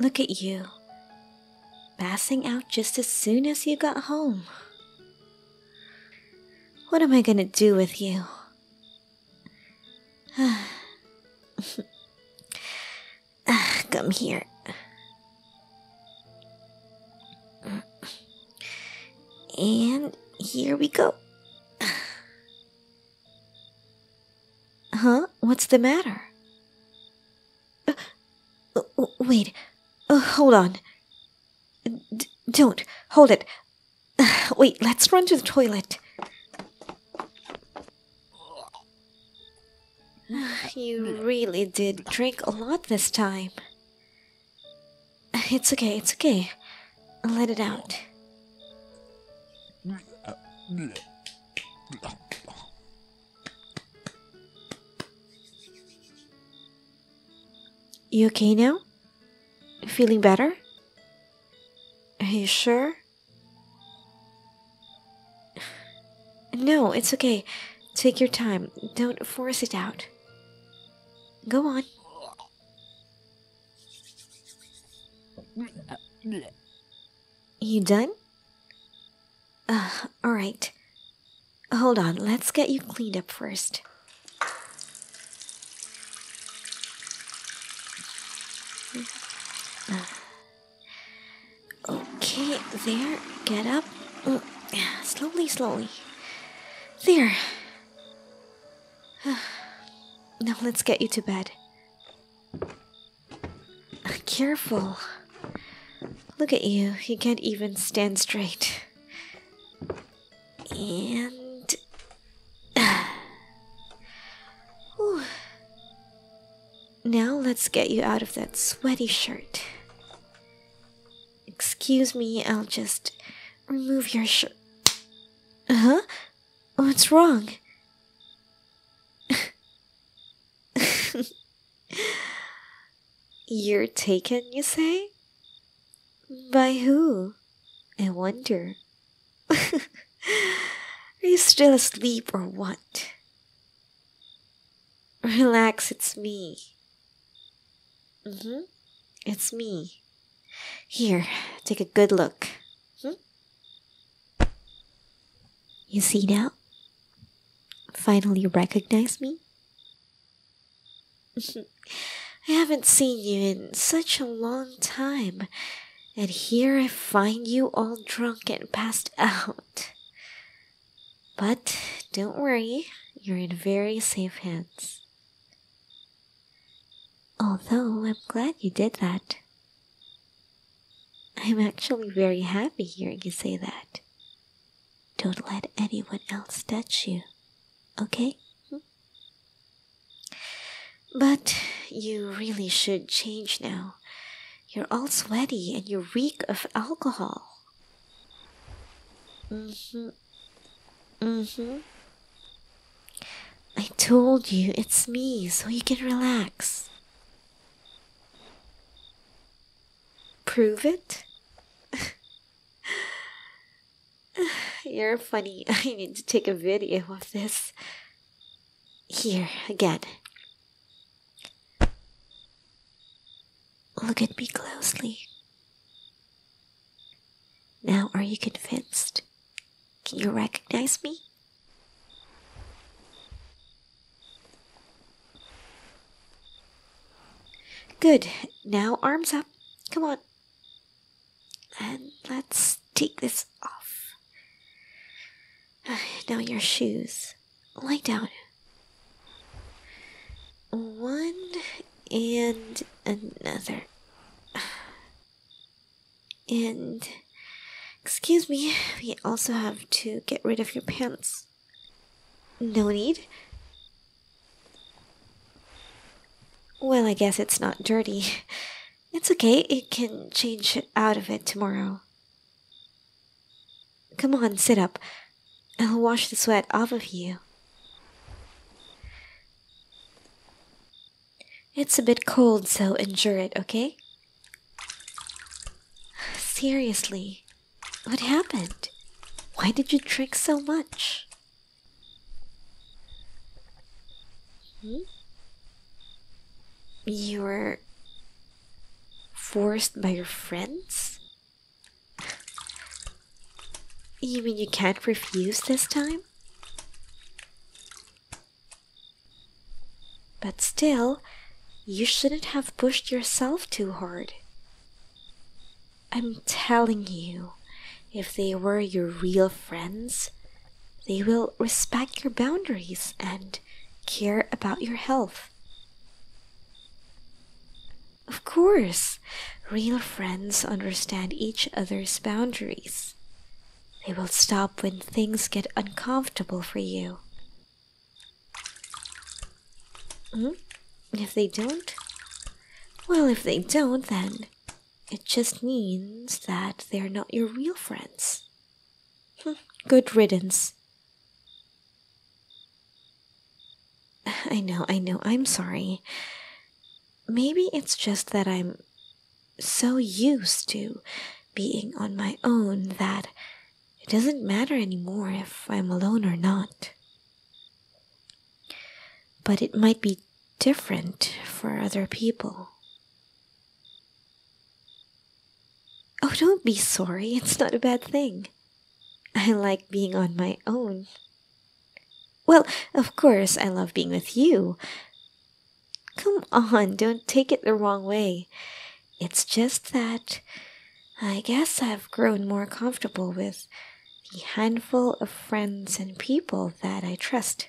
Look at you, passing out just as soon as you got home. What am I gonna do with you? Ah, come here. And here we go. Huh? What's the matter? Uh, wait. Uh, hold on. don't. Hold it. wait, let's run to the toilet. You really did drink a lot this time. It's okay, it's okay. Let it out. You okay now? Feeling better? Are you sure? No, it's okay. Take your time. Don't force it out. Go on. You done? Uh, alright. Hold on, let's get you cleaned up first. Okay, there. Get up. Mm, slowly, slowly. There. now let's get you to bed. Careful. Look at you. You can't even stand straight. And. Ooh, Now let's get you out of that sweaty shirt. Excuse me, I'll just remove your shirt. Huh? What's wrong? You're taken, you say? By who? I wonder. Are you still asleep or what? Relax, it's me. Mm-hmm. It's me. Here, take a good look. Mm-hmm. You see now? Finally recognize me? Mm-hmm. I haven't seen you in such a long time and here I find you all drunk and passed out. But don't worry, you're in very safe hands. Although I'm glad you did that. I'm actually very happy hearing you say that. Don't let anyone else touch you, okay? But you really should change now. You're all sweaty and you reek of alcohol. Mm-hmm. Mm-hmm. I told you it's me, so you can relax. Prove it? You're funny. I need to take a video of this. Here, again. Look at me closely. Now, are you convinced? Can you recognize me? Good. Now, arms up. Come on. And let's take this off. Uh, now, your shoes. Lie down. One and another. And, excuse me, we also have to get rid of your pants. No need. Well, I guess it's not dirty. It's okay, it can change out of it tomorrow. Come on, sit up. I'll wash the sweat off of you. It's a bit cold, so endure it, okay? Seriously, what happened? Why did you drink so much? Hmm? You were forced by your friends? You mean you can't refuse this time? But still, you shouldn't have pushed yourself too hard. I'm telling you, if they were your real friends, they will respect your boundaries and care about your health. Of course, real friends understand each other's boundaries. They will stop when things get uncomfortable for you. Mm? If they don't? Well, if they don't, then it just means that they're not your real friends. Good riddance. I know, I know, I'm sorry. Maybe it's just that I'm so used to being on my own that it doesn't matter any more if I'm alone or not. But it might be different for other people. Oh, don't be sorry. It's not a bad thing. I like being on my own. Well, of course, I love being with you. Come on, don't take it the wrong way. It's just that I guess I've grown more comfortable with the handful of friends and people that I trust.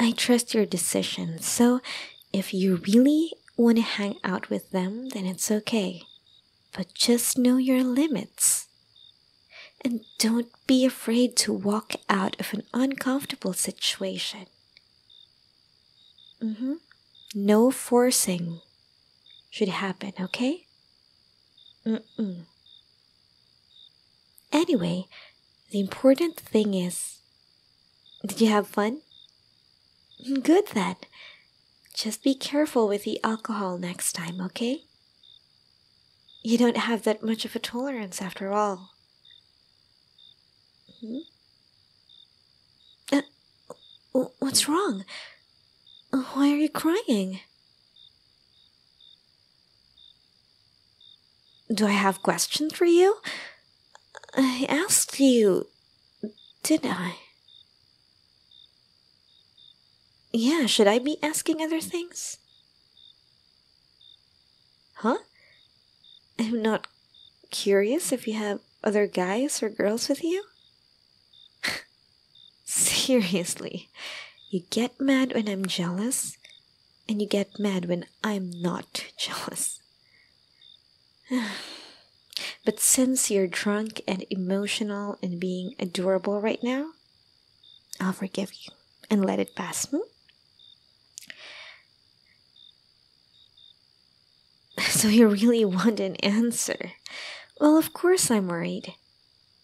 I trust your decision, so if you really want to hang out with them, then it's okay. But just know your limits. And don't be afraid to walk out of an uncomfortable situation. Mm-hmm. No forcing should happen, okay? Mm-mm. Anyway, the important thing is did you have fun? Good then. Just be careful with the alcohol next time, okay? You don't have that much of a tolerance after all. Hmm? Uh, what's wrong? Why are you crying? Do I have questions for you? I asked you, didn't I? Yeah, should I be asking other things? Huh? I'm not curious if you have other guys or girls with you? Seriously, you get mad when I'm jealous, and you get mad when I'm not jealous. but since you're drunk and emotional and being adorable right now, I'll forgive you and let it pass. Hmm? So you really want an answer? Well, of course I'm worried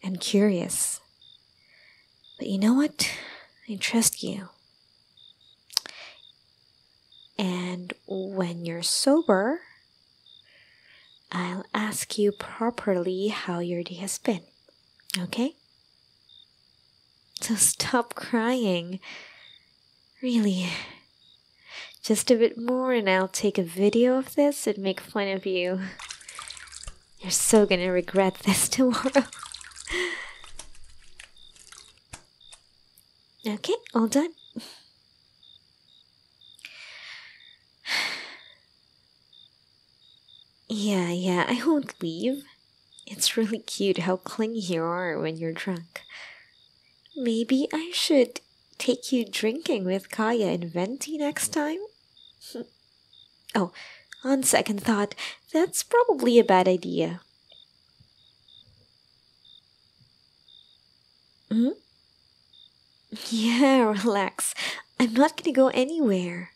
and curious. But you know what? I trust you. And when you're sober, I'll ask you properly how your day has been. Okay? So stop crying. Really. Just a bit more, and I'll take a video of this and make fun of you. You're so gonna regret this tomorrow. okay, all done. yeah, yeah, I won't leave. It's really cute how clingy you are when you're drunk. Maybe I should take you drinking with Kaya and Venti next time? oh, on second thought, that's probably a bad idea. Hmm? Yeah, relax. I'm not gonna go anywhere.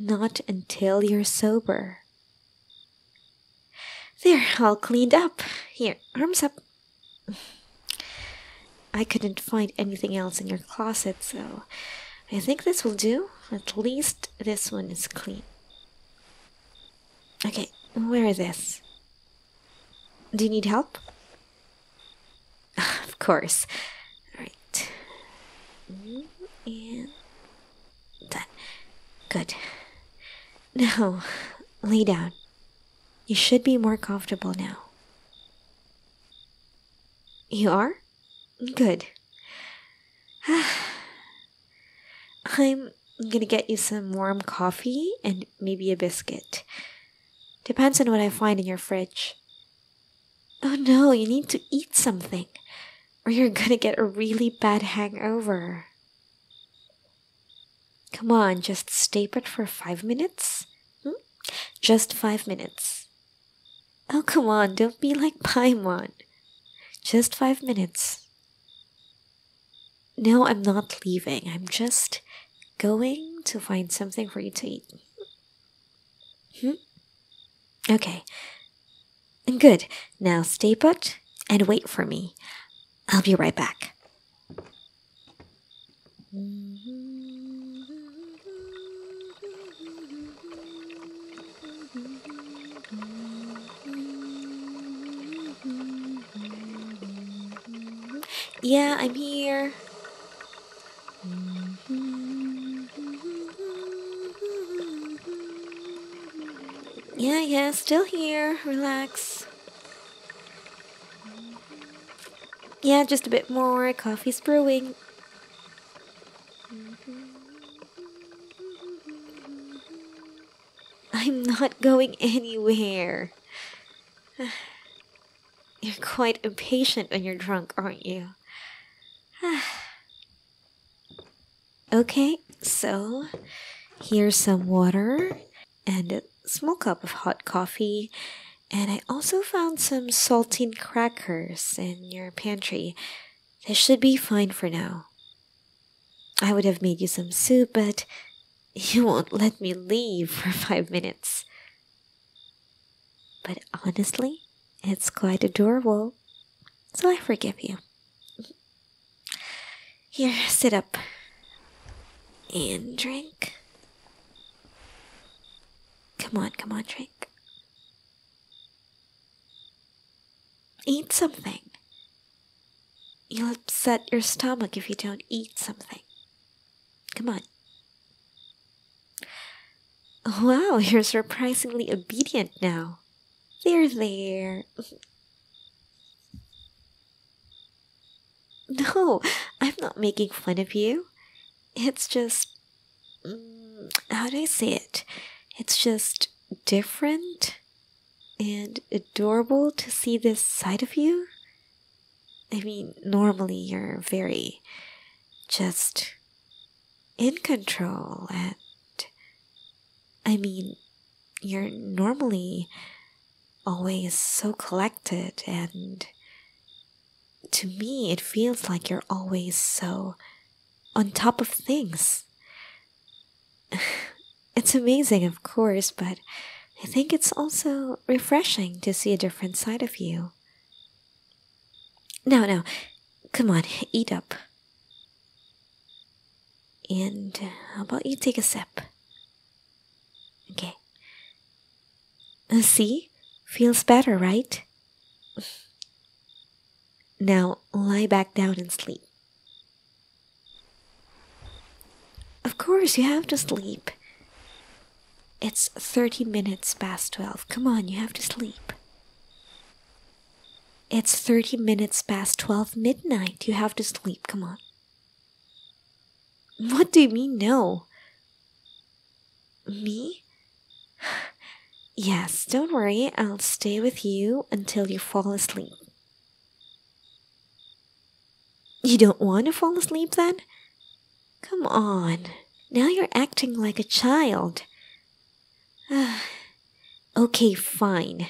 Not until you're sober. There, all cleaned up. Here, arms up. I couldn't find anything else in your closet, so I think this will do. At least this one is clean. Okay, wear this. Do you need help? of course. Alright. Mm, and done. Good. Now, lay down. You should be more comfortable now. You are? Good. I'm gonna get you some warm coffee and maybe a biscuit. Depends on what I find in your fridge. Oh no, you need to eat something, or you're gonna get a really bad hangover. Come on, just stay put for five minutes. Hmm? Just five minutes. Oh, come on, don't be like Paimon. Just five minutes. No, I'm not leaving. I'm just going to find something for you to eat. Hmm? Okay. Good. Now stay put and wait for me. I'll be right back. Yeah, I'm here. Yeah, yeah, still here. Relax. Yeah, just a bit more. Coffee's brewing. I'm not going anywhere. You're quite impatient when you're drunk, aren't you? okay, so here's some water and a small cup of hot coffee. And I also found some saltine crackers in your pantry. This should be fine for now. I would have made you some soup, but you won't let me leave for five minutes. But honestly, it's quite adorable. So I forgive you. Here, sit up and drink. Come on, come on, drink. Eat something. You'll upset your stomach if you don't eat something. Come on. Wow, you're surprisingly obedient now. There, there. No, I'm not making fun of you. It's just. Mm, how do I say it? It's just different and adorable to see this side of you. I mean, normally you're very just in control and. I mean, you're normally always so collected and to me it feels like you're always so on top of things. it's amazing, of course, but I think it's also refreshing to see a different side of you. No, no, come on, eat up. And how about you take a sip? Okay. Uh, see? Feels better, right? Now lie back down and sleep. Of course, you have to sleep. It's 30 minutes past 12. Come on, you have to sleep. It's 30 minutes past 12 midnight. You have to sleep. Come on. What do you mean, no? Me? Yes, don't worry, I'll stay with you until you fall asleep. You don't want to fall asleep then? Come on, now you're acting like a child. okay, fine.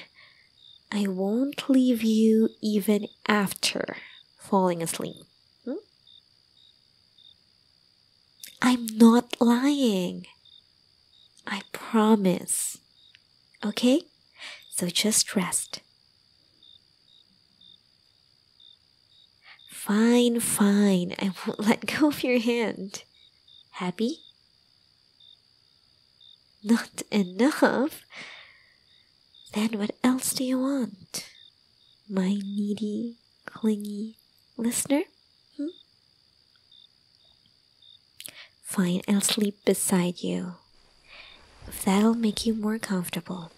I won't leave you even after falling asleep. Hmm? I'm not lying. I promise. Okay? So just rest. Fine, fine. I won't let go of your hand. Happy? Not enough. Then what else do you want? My needy, clingy listener? Hmm? Fine, I'll sleep beside you. that'll make you more comfortable.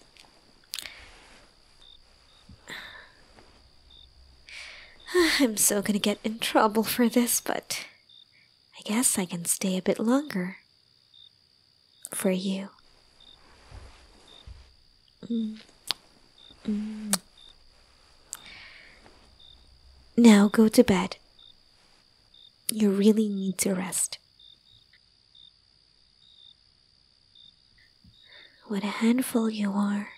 I'm so gonna get in trouble for this, but I guess I can stay a bit longer for you. Mm. Mm. Now go to bed. You really need to rest. What a handful you are.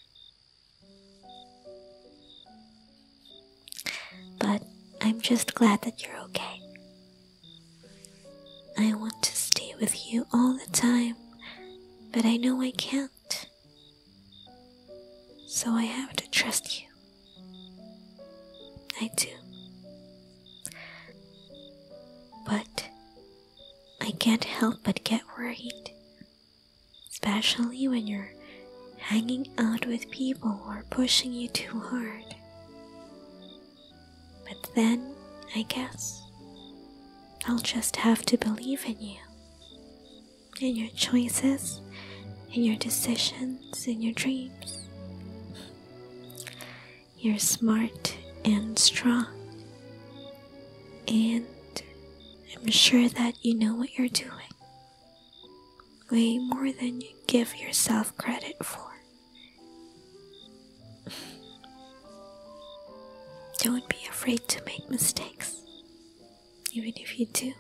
But I'm just glad that you're okay. I want to stay with you all the time, but I know I can't. So I have to trust you. I do. But I can't help but get worried, especially when you're hanging out with people who are pushing you too hard. But then, I guess, I'll just have to believe in you, in your choices, in your decisions, in your dreams. You're smart and strong, and I'm sure that you know what you're doing way more than you give yourself credit for. Don't be afraid to make mistakes. Even if you do,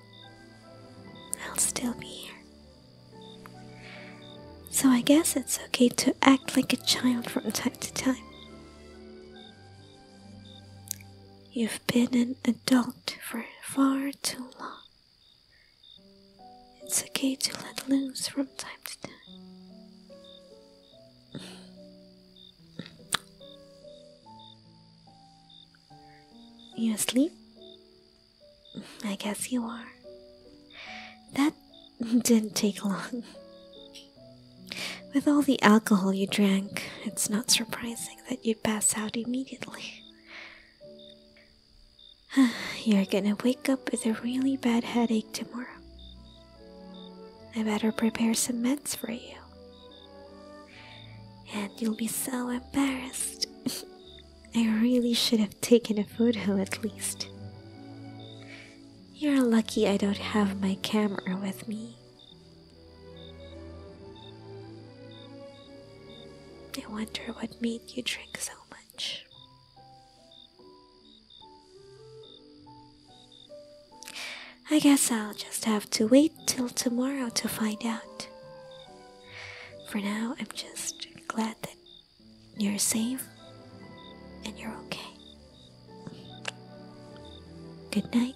I'll still be here. So I guess it's okay to act like a child from time to time. You've been an adult for far too long. It's okay to let loose from time to time. You asleep? I guess you are. That didn't take long. With all the alcohol you drank, it's not surprising that you pass out immediately. You're gonna wake up with a really bad headache tomorrow. I better prepare some meds for you. And you'll be so embarrassed. I really should have taken a photo at least. You're lucky I don't have my camera with me. I wonder what made you drink so much. I guess I'll just have to wait till tomorrow to find out. For now, I'm just glad that you're safe and you're okay. Good night.